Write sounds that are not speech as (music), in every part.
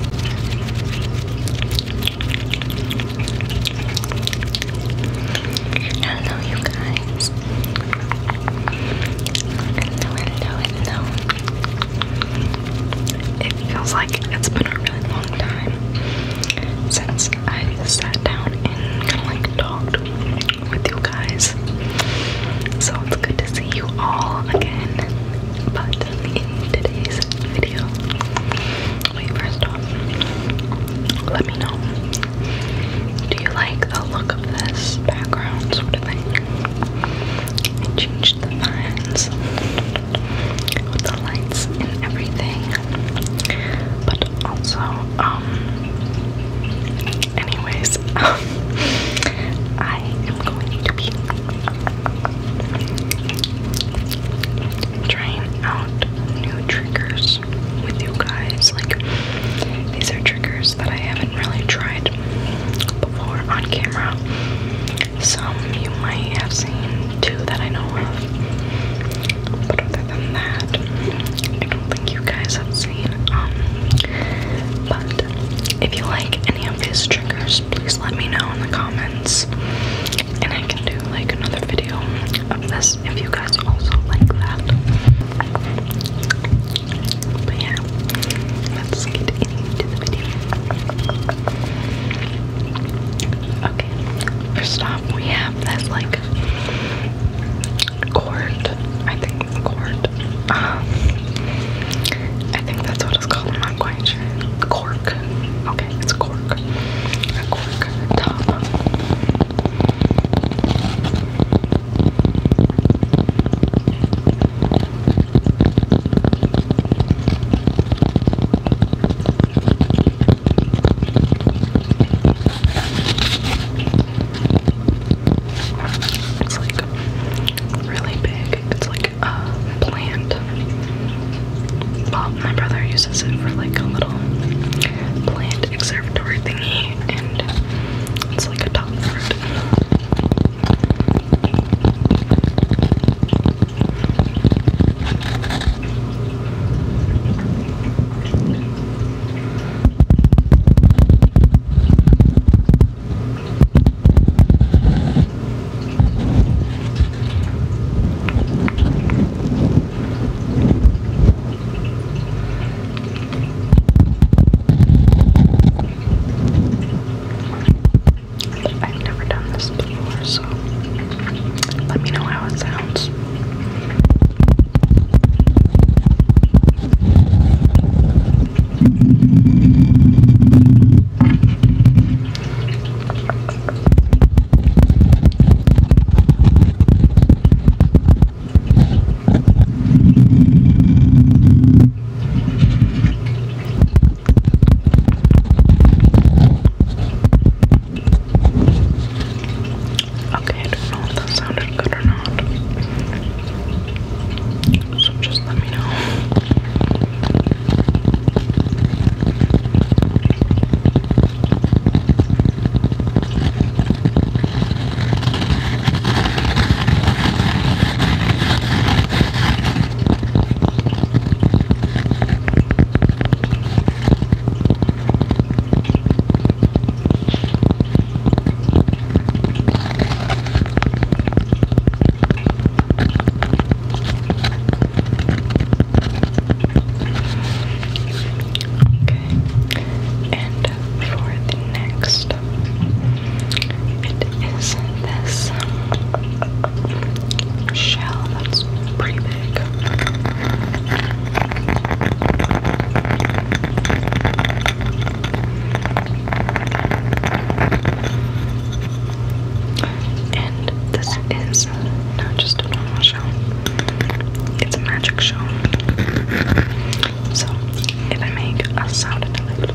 Hello, you guys. Hello, hello, hello. It feels like it's been a really long time since I sat down and kind of like talked with you guys. So it's good to see you all again. But in today's video. Wait, first off, let me know. Do you like the look of this background sort of thing? I changed the lines the lights and everything. But also, um anyways, (laughs) I am going to be trying out new triggers with you guys. Like, these are triggers that I haven't really tried before on camera. Some you might have seen too that I know of. But other than that, I don't think you guys have seen. Um, but if you like any of these triggers, please let me know in the comments. And I can do like another video of this if you guys also like that. But yeah, let's get into the video. Okay, first off, we have this like cord. I think cord. Uh-huh. I think that's what it's called binder. Cork. Okay, it's cork. A cork top. It's like really big. It's like a plant. my brother uses it for like a little plant conservatory thingy, and it's like a top fruit. I've never done this before, so let me know how it sounds. Okay, I don't know if that sounded good or not. So just let me know and for the next, it is this um, shell that's pretty big. And this is not just a normal show, it's a magic show. So, if I make a sound of it,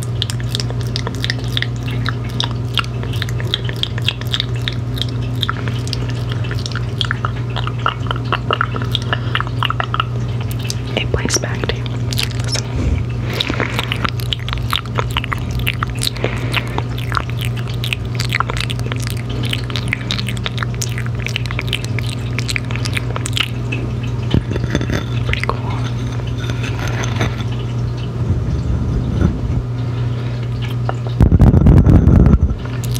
back to you. It's kind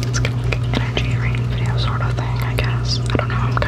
of like energy rain video sort of thing, I guess. I don't know,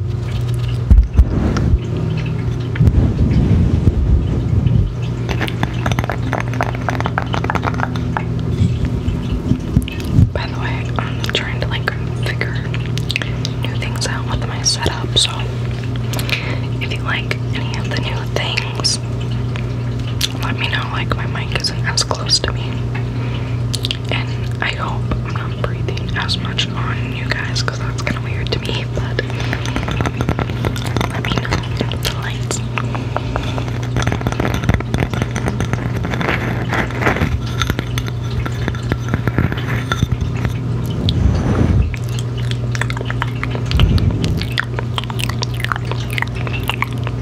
By the way, I'm trying to like figure new things out with my setup, so if you like any of the new things, let me know. Like, my mic isn't as close to me and I hope I'm not breathing as much on you guys because that's kind of weird to me. But let me know the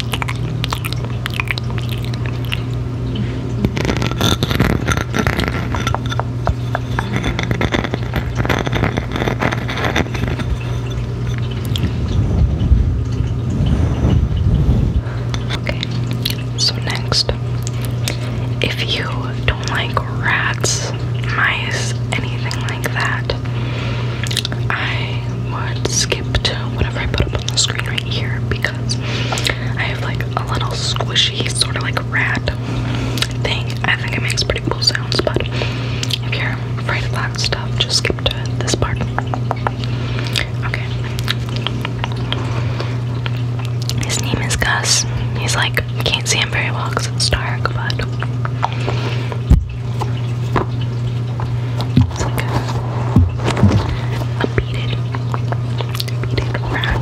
Okay, so next, if you don't like rats, mice, anything like that, I would skip. To whatever I put up on the screen right here because I have like a little squishy sort of like rat thing. I think it makes pretty cool sounds, but if you're afraid of that stuff, just skip to this part. Okay. His name is Gus. He's like, you can't see him very well because it's dark, but. It's like a, a beaded, beaded rat.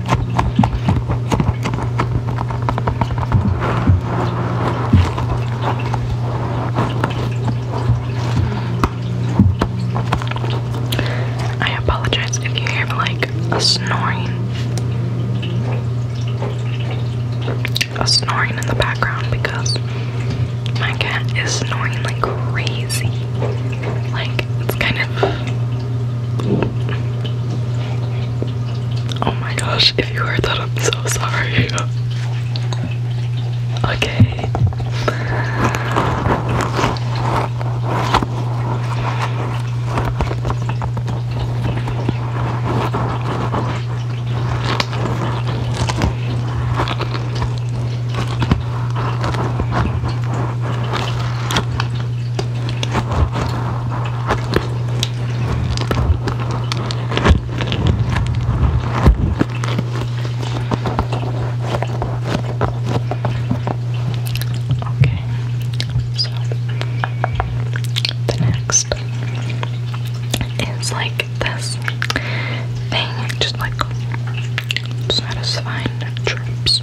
I apologize if you hear like a snoring, a snoring in the background because my cat is snoring like crazy. Like it's kind of Oh my gosh, if you heard that, I'm so sorry. okay. Okay, so the next is like this thing, just like satisfying trips.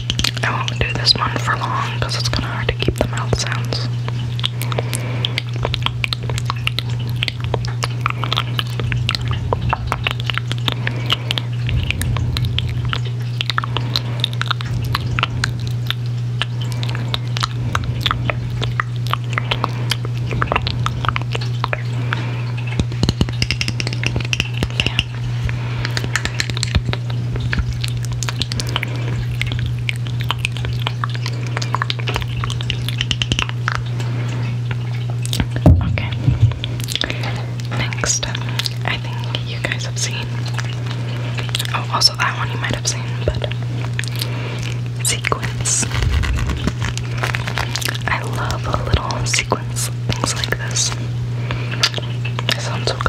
I won't do this one for long because it's kind of hard to keep the mouth sounds. Okay. Next, I think you guys have seen. Oh, also that one you might have seen, but sequins. I love a little sequin things like this. It sounds so good.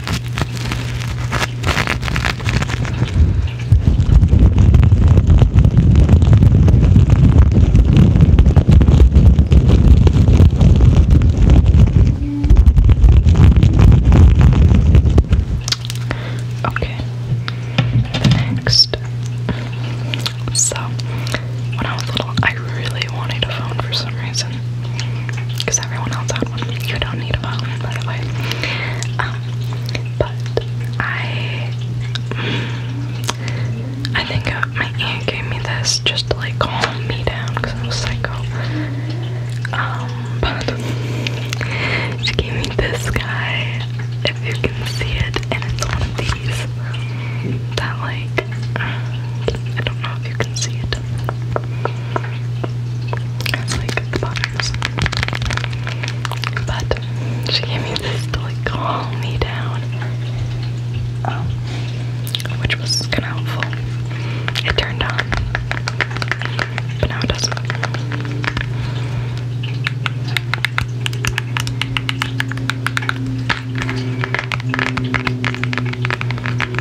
Okay, next. So, when I was little, I really wanted a phone for some reason because everyone else had one. You don't need a phone, by the way. Um, but I, I think uh, my aunt gave me this just to like calm me down because I was psycho. Um, but she gave me this guy. If you can see it, and it's one of these that like I don't know if you can see it. But she gave me this to like calm me down. Um, which was kinda helpful. It turned on. But now it doesn't.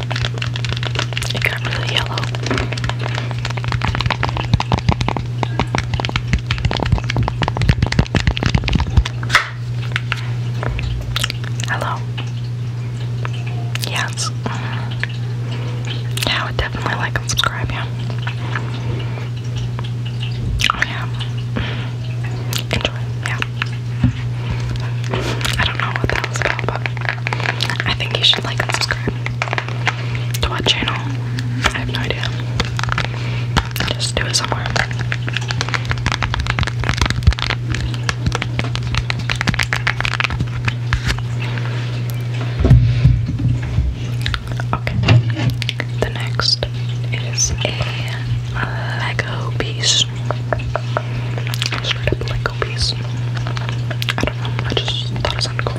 It got really yellow. Hello. Yes. Yeah, I definitely like and subscribe, yeah. Oh yeah. Enjoy, yeah. I don't know what that was about, but I think you should like and subscribe to our channel. I have no idea. Just do it somewhere. Okay. The next is a Lego piece. Straight up Lego piece. I don't know, I just thought it sounded cool.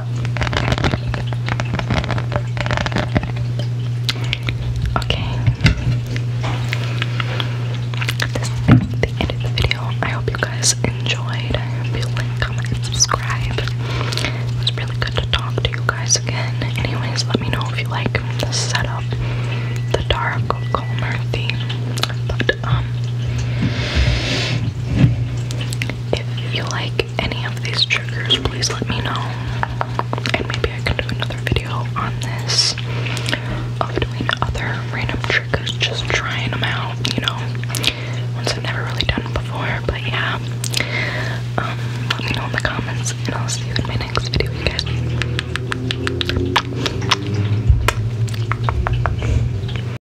Okay. This is the end of the video. I hope you guys enjoyed. I hope you comment, and subscribe. It was really good to talk to you guys again. Anyways, let me know if you like the setup, the dark calmer theme. Um, if you like any of these triggers, please let me know, and maybe I can do another video on this of doing other random triggers, just trying them out, you know, ones I've never really done before. But yeah, um, let me know in the comments, and I'll see you in my next video, guys.